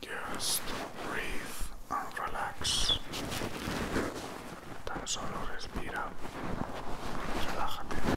Just breathe and relax. Tan solo respira. Relájate.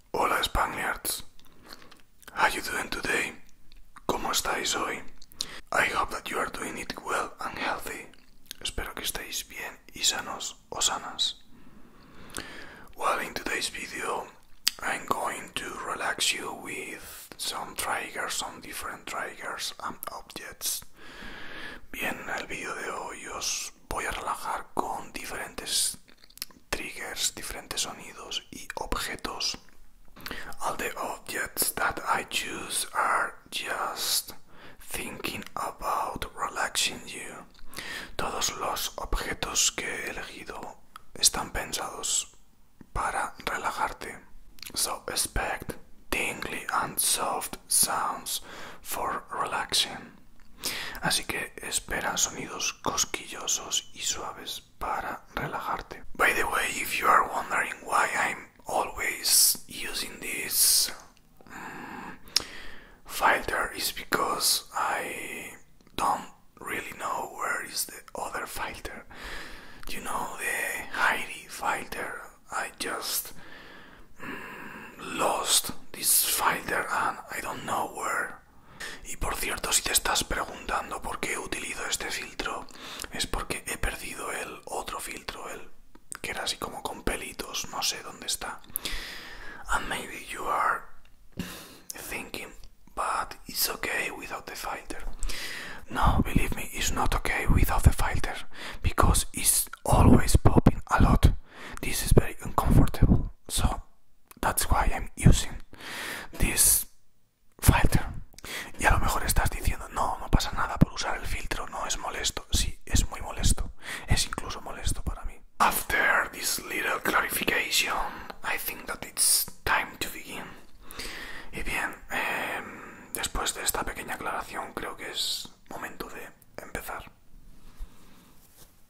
Hola Spaniards. How you doing today? ¿Cómo estáis hoy? I hope that you are doing it well and healthy. Espero que estéis bien y sanos o sanas. Well, in today's video, I'm going to relax you with some triggers, some different triggers and objects. Bien, el vídeo de hoy os voy a relajar con diferentes triggers, diferentes sonidos y objetos. All the objects that I choose are just thinking about relaxing you. Todos los objetos que he elegido están pensados para relajarte. So expect dingly and soft sounds for relaxing. Así que espera sonidos cosquillosos y suaves para relajarte. By the way, if you are wondering why I'm always using this mm, filter, is because I don't really know where is the other filter. You know the Heidi filter. I just mm, lost this filter and I don't know where Y por cierto, si te estás preguntando por qué utilizo este filtro, es porque he perdido el otro filtro, el que era así como con pelitos, no sé dónde está. And maybe you are thinking, but it's okay without the filter. No, believe me, it's not okay without the filter because it's always popping a lot. This is very uncomfortable. So That's why I'm using this filter. Y a lo mejor estás diciendo, no, no pasa nada por usar el filtro, no es molesto. Sí, es muy molesto. Es incluso molesto para mí. After this little clarification, I think that it's time to begin. Y bien, em, después de esta pequeña aclaración creo que es momento de empezar.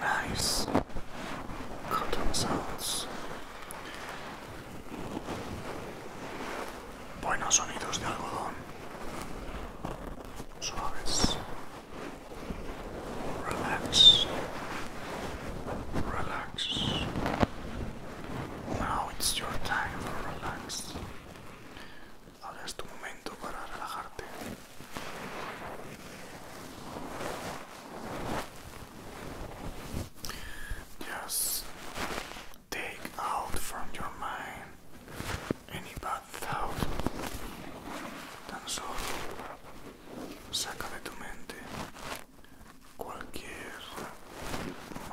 Nice cotton sounds. Buenos sonidos de algodón. Suaves. Relax. Relax. Now it's your time for relax. hagas tu momento para relajarte. Just take out from your mind any bad thought. Tan solo saca de tu mente cualquier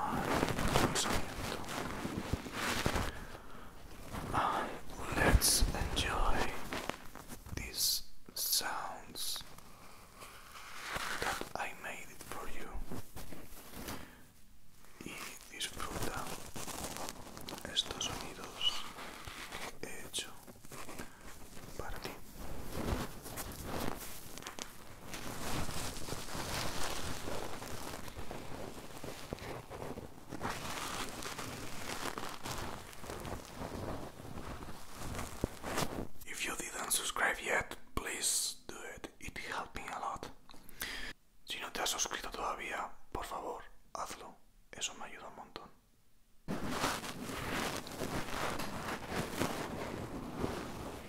my consentiment. let's enjoy these sounds that I made for you. disfruta estos sonidos que para ti. please Si no te has suscrito todavía, por favor, hazlo. Eso me ayuda un montón.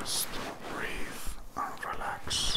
Just breathe and relax.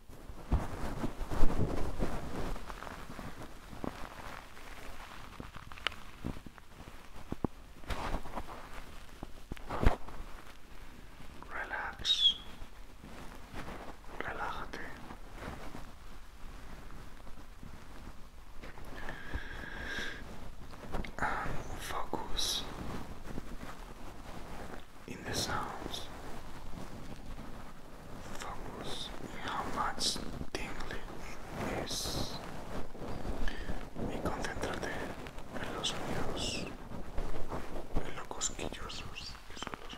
Relax, relájate. And um, focus in the sounds Focus how much Tingle is y concéntrate en los sonidos, en los cosquillosos que son los sonidos.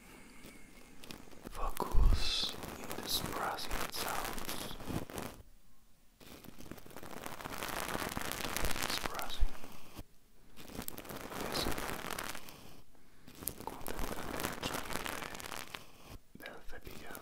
Focus in this pressing sounds. This pressing. Listen. Contemplate tranquille del cepillado.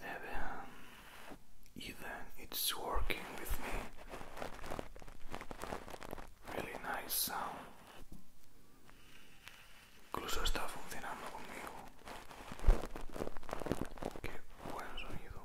Maybe um, even it's working with me. Really nice sound. Incluso está funcionando conmigo. Qué buen sonido.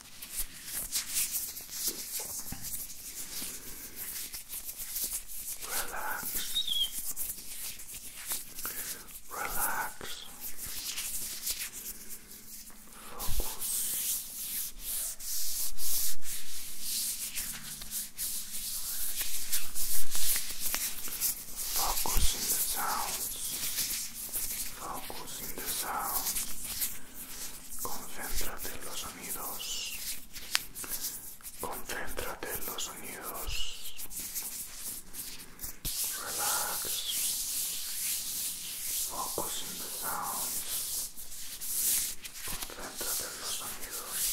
Relax. Relax. Focus. Focus in the sounds. Focus in the sounds. Concéntrate en los sonidos. Concéntrate en los sonidos. Relax. Focus in the sounds. Concéntrate en los sonidos.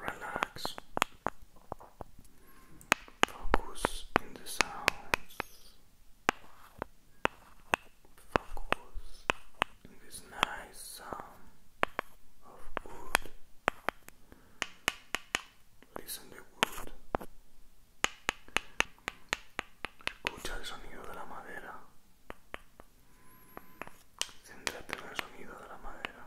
Relax. Focus in the sounds. Focus in this nice sound. Escucha el sonido de la madera. Céntrate en el sonido de la madera.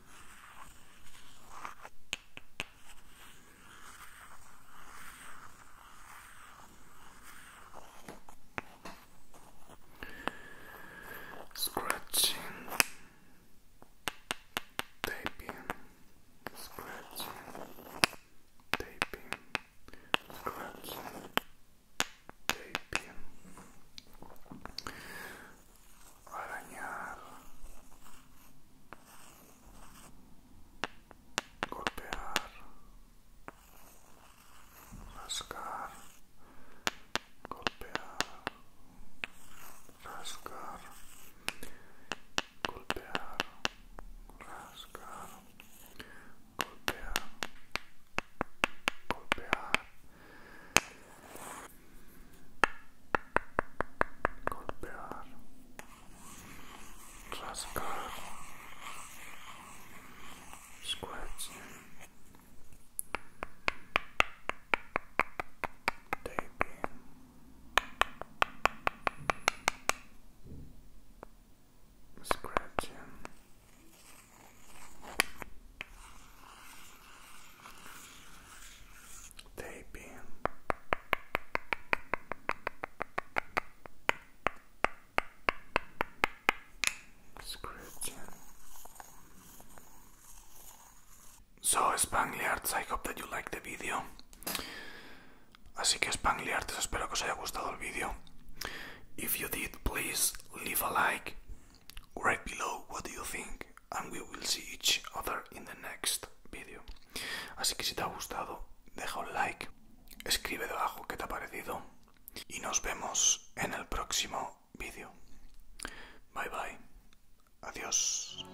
Scratching, taping, scratching, taping, scratching, taping. arañar, golpear, rascar, golpear, rascar, golpear, rascar, golpear, golpear. golpear, rascar, scratch, taping. Scratching, taping scripting so Spangliards I hope that you like the video Así que Spangliards espero que os haya gustado el vídeo If you did please leave a like Write below what do you think and we will see each other in the next video. Así que si te ha gustado, deja un like, escribe debajo qué te ha parecido y nos vemos en el próximo vídeo. Bye bye. Adiós.